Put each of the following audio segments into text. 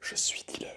Je suis dealer.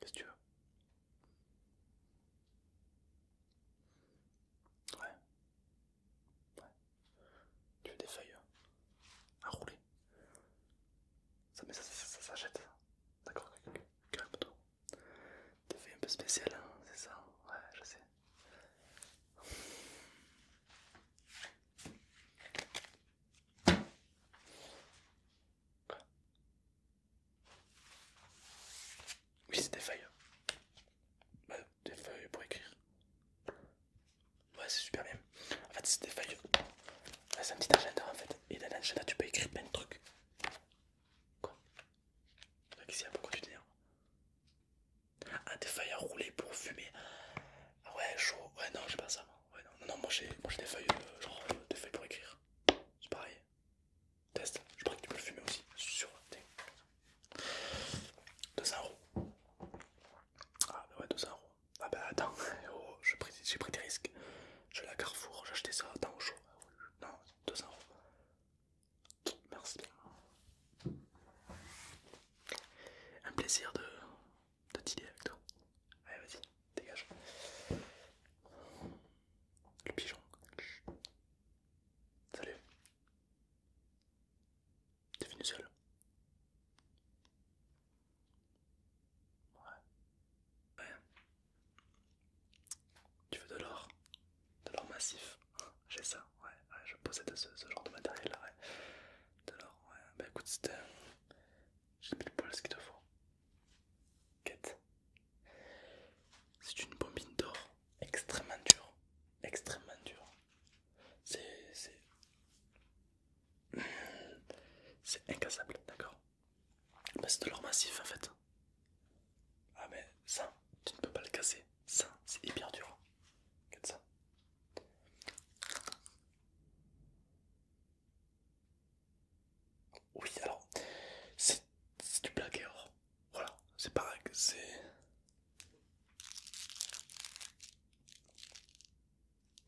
Qu'est-ce que tu veux Ouais. Ouais. Tu veux des feuilles hein à rouler Ça, mais ça, ça, D'accord, toi Des feuilles un peu spéciales, hein, c'est ça Ouais, je sais. Oui, c'est des feuilles. Hein. des feuilles pour écrire. Ouais, c'est super bien. En fait, c'est des feuilles. C'est un petit agenda en fait. Et dans l'agenda, tu peux écrire plein de trucs. Quoi Donc, ce il y a beaucoup d'idées. Ah, des feuilles à rouler pour fumer. Ah ouais, chaud. Ouais, non, j'ai pas ça. Moi. Ouais, non, non, moi j'ai des feuilles, euh, genre euh, des feuilles pour écrire. C'est pareil. Test. Je crois que tu peux le fumer aussi. Sur. 200 euros. Ah bah ouais, 200 euros. Ah bah attends, oh, j'ai pris, des risques. Je l'ai à Carrefour, j'ai acheté ça, attends, au chaud. Ah non, 200 euros. Merci. Un plaisir de, T'as t'idées avec toi. Allez, vas-y, dégage. Le pigeon. Salut. T'es venu seul Ouais. Ouais. Tu veux de l'or De l'or massif j'ai ça, ouais, je possède ce, genre de matériel là, ouais. De l'or, ouais, bah écoute, c'était. Euh, j'ai le poil ce qu'il te faut. Quête. C'est une bombine d'or extrêmement dure, extrêmement dure. C'est. c'est. C'est incassable, d'accord bah, C'est de l'or massif en fait. Ah, mais ça, tu ne peux pas le casser. Ça, c'est hyper dur. Oui, alors, c'est du black or. Voilà, c'est pareil que c'est.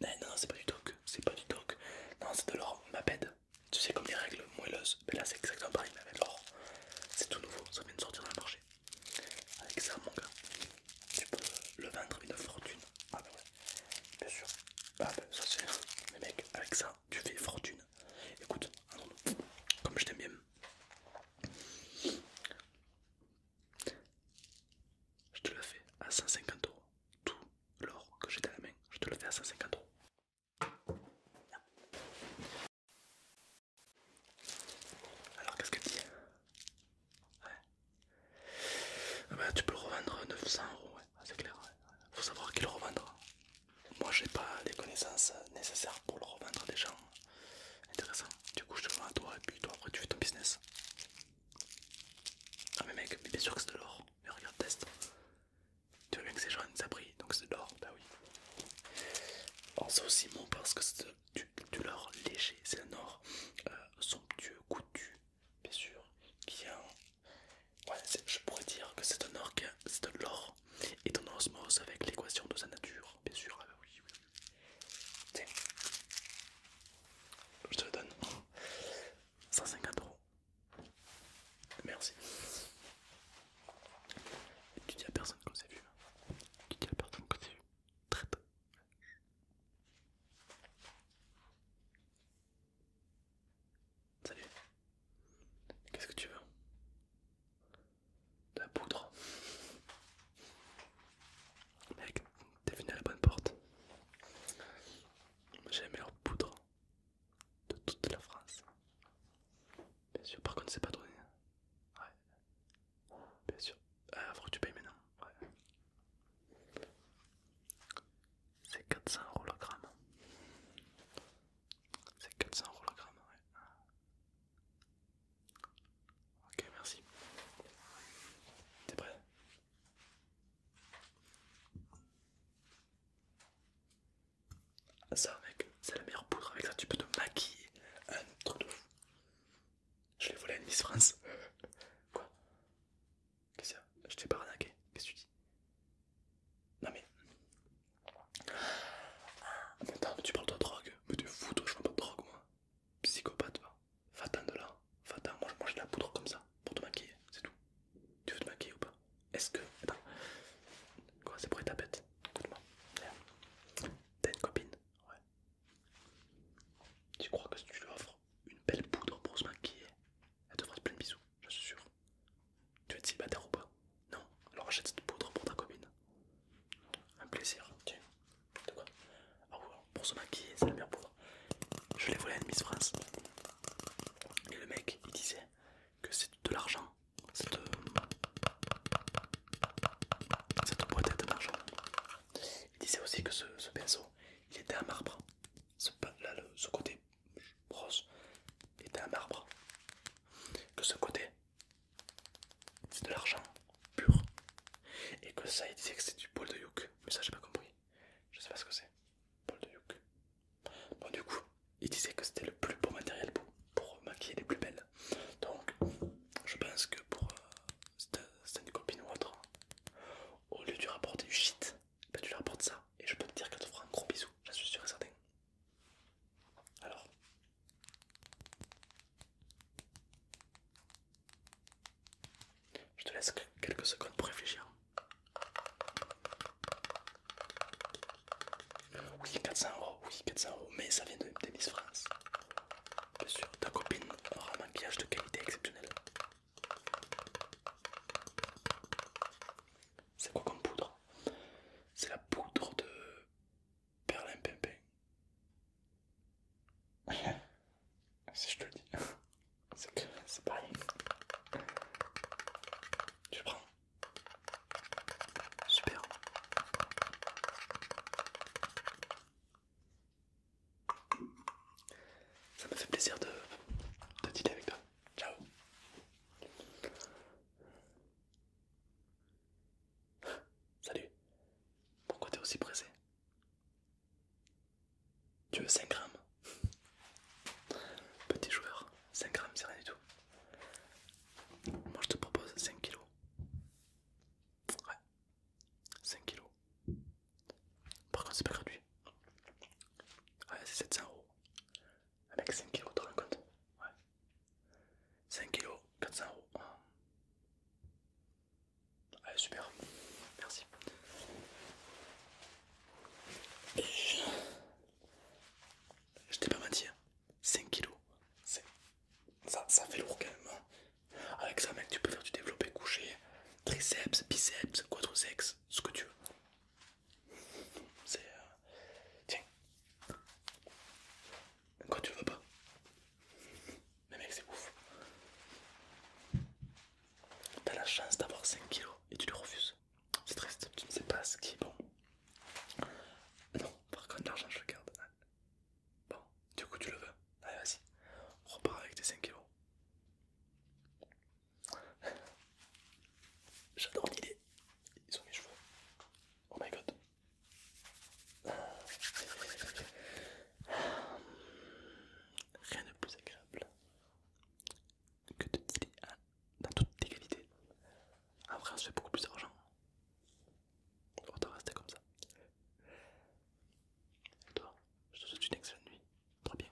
Eh, non, non, c'est pas du doc, c'est pas du doc. Non, c'est de l'or, maped Tu sais, comme les règles moelleuses, mais là c'est exactement pareil, mais avec l'or. C'est tout nouveau, ça vient de sortir dans le marché. Avec ça, mon gars, tu peux le vendre une fortune. Ah, bah ouais, bien sûr. Ah, bah ça, c'est. Mais mec, avec ça, tu fais fortune. Écoute, comme je t'aime bien, je te le fais à 150 euros. Tout l'or que j'ai dans la main, je te le fais à 150 euros. Alors qu'est-ce que tu dis Ouais. Ah bah, tu peux le revendre 900 euros, ouais. Ah, c'est clair. Faut savoir qui le revendra. Moi j'ai pas les connaissances nécessaires pour le revendre à des gens Intéressant. Du coup, je te vends à toi et puis toi après tu fais ton business. Ah, mais mec, bien sûr que c'est de l'or. Mais regarde, teste. Tu vois bien que c'est jaune, ça brille, donc c'est de l'or, bah oui. aussi bon parce que c'est du, l'or léger, c'est un or euh, somptueux, coutu, bien sûr, qui a Ouais, je pourrais dire que c'est un or qui c'est de l'or, et en osmose avec l'équation de sa nature, bien sûr, ah bah oui, oui. Tiens, je te le donne 150 euros. Merci tu dis à personne qu'on s'est vu. Tu dis à personne qu'on s'est vu. Très tôt Salut. Qu'est-ce que tu veux De la poudre. Mec, t'es venu à la bonne porte. J'ai la meilleure poudre de toute la France. Bien sûr, par contre, c'est pas rien. Hein. Ouais, bien sûr. Ah, faut que tu payes maintenant. Ouais. C'est 400 euros le gramme. C'est 400 euros le gramme, ouais. Ok, merci. T'es prêt ça mec, c'est la meilleure poudre, avec ça tu peux te maquiller, un truc de fou. Je l'ai volé à une Miss France. Quoi Qu'est-ce que ça a Je t'ai pas ranaqué, qu'est-ce que tu dis Non mais... Ah, attends, mais tu parles de drogue, mais tu fous toi, je vois pas de drogue moi. Psychopathe va. va de là, fatin moi, moi de la poudre comme ça, pour te maquiller, c'est tout. Tu veux te maquiller ou pas Est-ce que. Attends. Quoi, c'est pour ta bête ecoute moi T'as une copine Ouais. Tu crois que si tu lui offres une belle poudre pour se maquiller, elle te fera plein de bisous, je suis sûr. Tu es célibataire ou pas Non Alors achète cette poudre pour ta copine. Un plaisir. Tu De quoi ah pour se maquiller, c'est la meilleure poudre. Je l'ai volé à une Miss France. Et le mec, il disait que c'est de l'argent. Cette... Euh, cette boîte de d'argent. Il disait aussi que ce, pinceau, il était en marbre. Ce, côté rose était en marbre. Que ce côté, c'est de l'argent pur. Et que ça, il disait que c'est du poil de yuk Mais ça, j'ai pas compris. Je sais pas ce que c'est. Bon, du coup, il disait que c'était le plus beau matériel pour, maquiller les plus belles. Donc, je pense que pour euh, cette copine ou autre, au lieu de rapporter du shit, tu lui rapportes ça. Et je peux te dire qu'elle te fera un gros bisou, j'en suis sûr et certain. Alors. Je te laisse quelques secondes pour réfléchir. Oui, 400 euros, oui, 400 euros, mais ça vient de Tennis France. Bien sûr, ta copine aura un maquillage de qualité exceptionnelle. C'est quoi comme poudre C'est la poudre de Pimpin si je te le dis, c'est que c'est pareil. Tu le prends. Super. Ça me fait plaisir de, de dîner avec toi. Ciao. Salut. Pourquoi t'es aussi pressé tu veux 5 grammes Petit joueur, 5 grammes c'est rien du tout. Moi je te propose 5 kilos. Ouais, 5 kilos. Par contre c'est pas gratuit. Ouais, c'est 700 euros. Avec 5 kilos, tu rends compte Ouais. 5 kilos, 400 euros. Allez ah, super, merci. Je t'ai pas menti, 5 hein. kilos. Ça, ça fait lourd quand même. Avec ça, mec, tu peux faire du développé couché, triceps, biceps, quadriceps, ce que tu veux. Euh, tiens. Quoi tu veux pas. Mais mec, c'est ouf. T'as la chance d'avoir 5 kilos et tu le refuses. C'est triste, tu ne sais pas ce qui est bon. Non, par contre, l'argent, je le garde. Bon, du coup, tu le veux. Allez, vas-y. Repars avec tes 5 kilos. J'adore l'idée. Ils ont mes cheveux. Oh my god. Rien de plus agréable que de dealer dans toute égalité. Après, on se fait beaucoup plus d'argent. te rester comme ça. Et toi, je te souhaite une excellente nuit. Très bien.